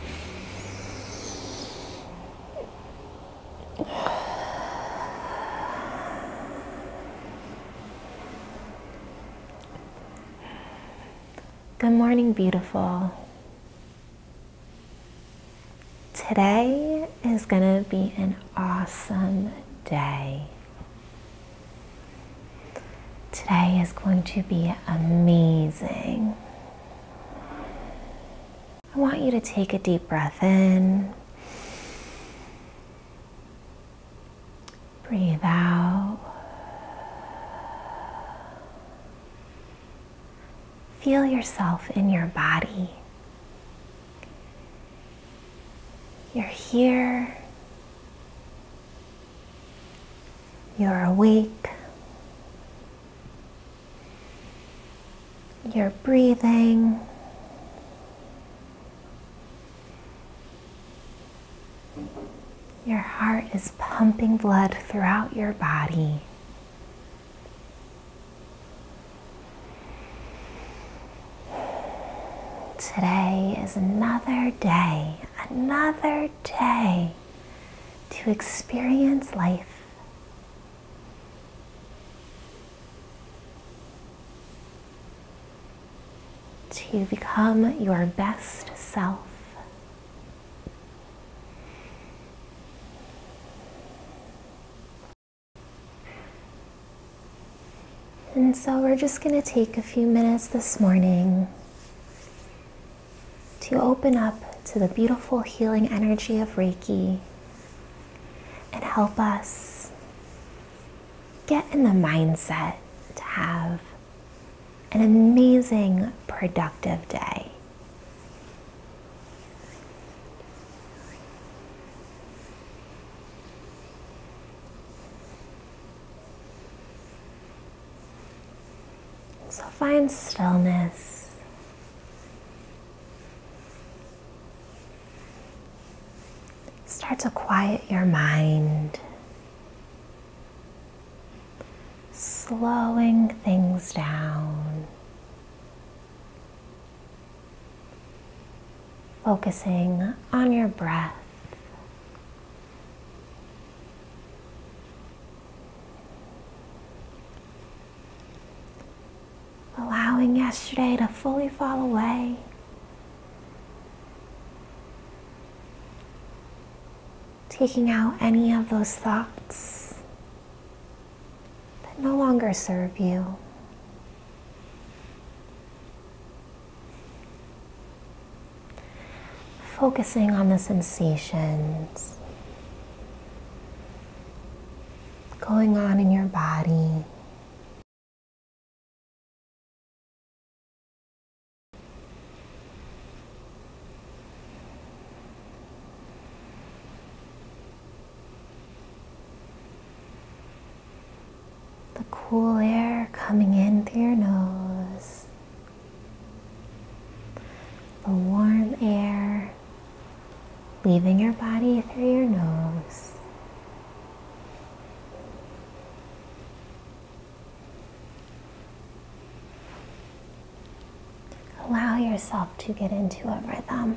Good morning, beautiful. Today is going to be an awesome day. Today is going to be amazing. I want you to take a deep breath in. Breathe out. Feel yourself in your body. You're here. You're awake. You're breathing. Your heart is pumping blood throughout your body. Today is another day, another day to experience life. To become your best self. And so we're just going to take a few minutes this morning to open up to the beautiful healing energy of Reiki and help us get in the mindset to have an amazing, productive day. So find stillness. Start to quiet your mind, slowing things down, focusing on your breath Allowing yesterday to fully fall away. Taking out any of those thoughts that no longer serve you. Focusing on the sensations going on in your body the cool air coming in through your nose, the warm air leaving your body through your nose. Allow yourself to get into a rhythm.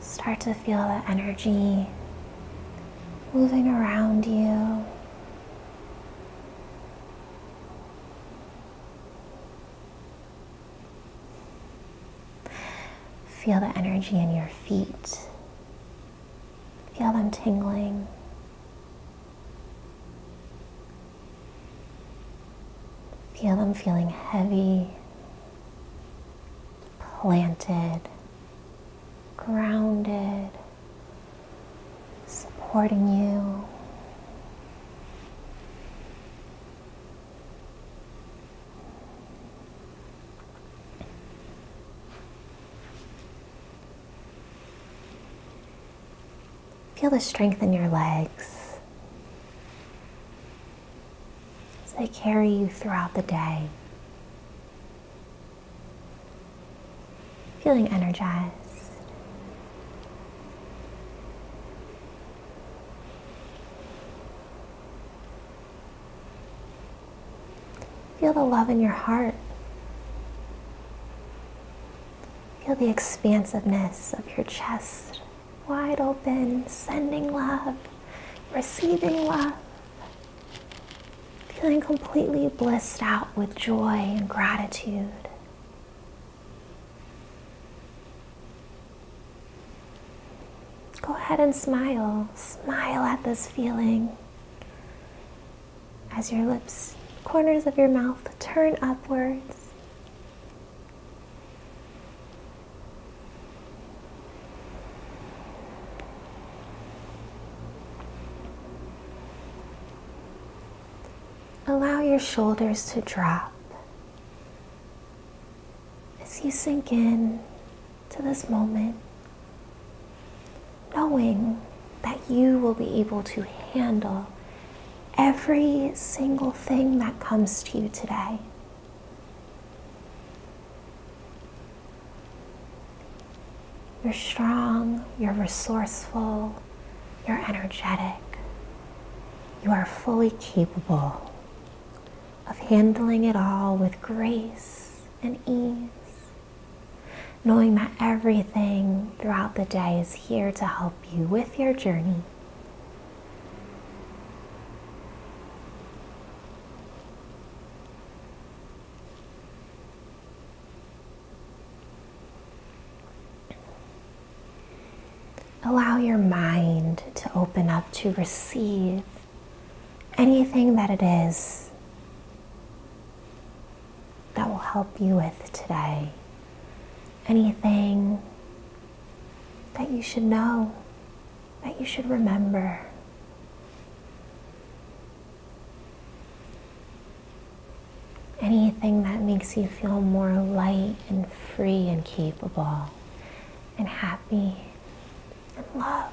Start to feel the energy moving around you. Feel the energy in your feet. Feel them tingling. Feel them feeling heavy, planted, grounded, supporting you. Feel the strength in your legs as they carry you throughout the day. Feeling energized. Feel the love in your heart. Feel the expansiveness of your chest, wide open, sending love, receiving love. Feeling completely blissed out with joy and gratitude. Go ahead and smile. Smile at this feeling as your lips, corners of your mouth turn upwards. Allow your shoulders to drop as you sink in to this moment knowing that you will be able to handle every single thing that comes to you today. You're strong, you're resourceful, you're energetic. You are fully capable of handling it all with grace and ease knowing that everything throughout the day is here to help you with your journey. Allow your mind to open up to receive anything that it is that will help you with today. Anything that you should know, that you should remember. Anything that makes you feel more light and free and capable and happy and loved.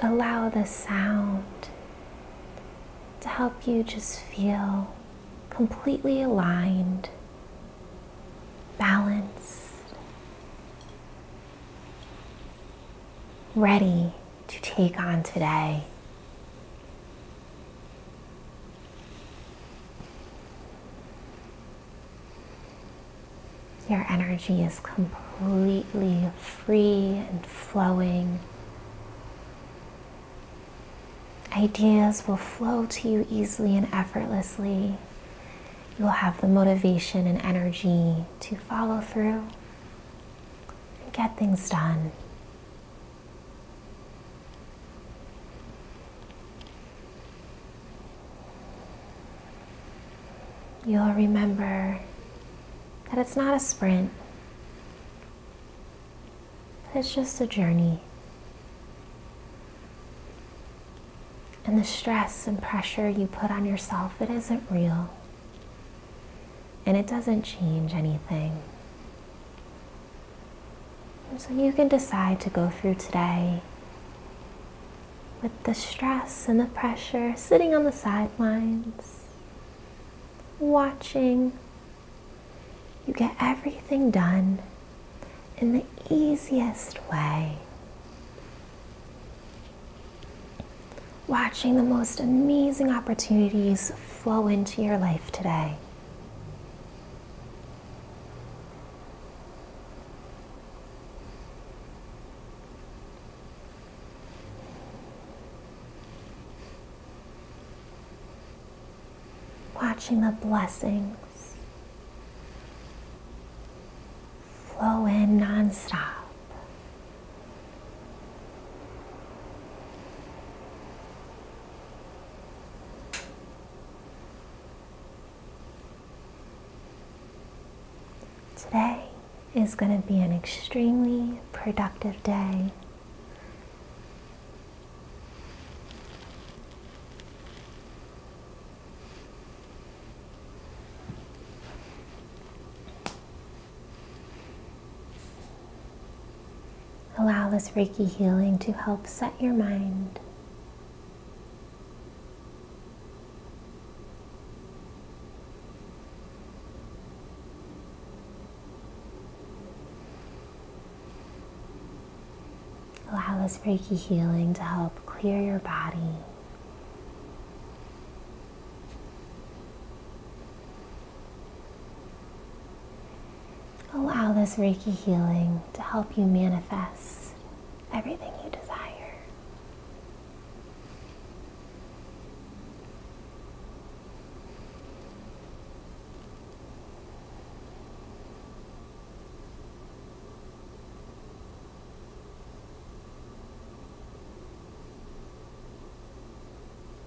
Allow the sound to help you just feel completely aligned, balanced, ready to take on today. Your energy is completely free and flowing. Ideas will flow to you easily and effortlessly. You'll have the motivation and energy to follow through and get things done. You'll remember that it's not a sprint, it's just a journey. And the stress and pressure you put on yourself, it isn't real. And it doesn't change anything. So you can decide to go through today with the stress and the pressure, sitting on the sidelines, watching. You get everything done in the easiest way. Watching the most amazing opportunities flow into your life today watching the blessings flow in nonstop. Today is going to be an extremely productive day. Allow this Reiki healing to help set your mind. Allow this Reiki healing to help clear your body. Allow this Reiki healing to help you manifest everything you desire.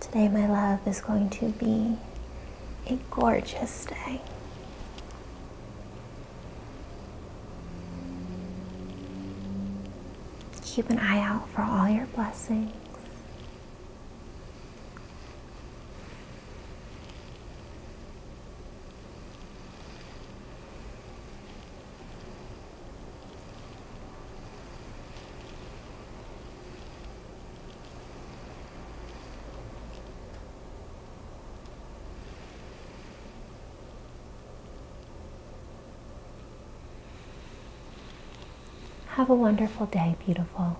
Today, my love, is going to be a gorgeous day. Keep an eye out for all your blessings. Have a wonderful day, beautiful.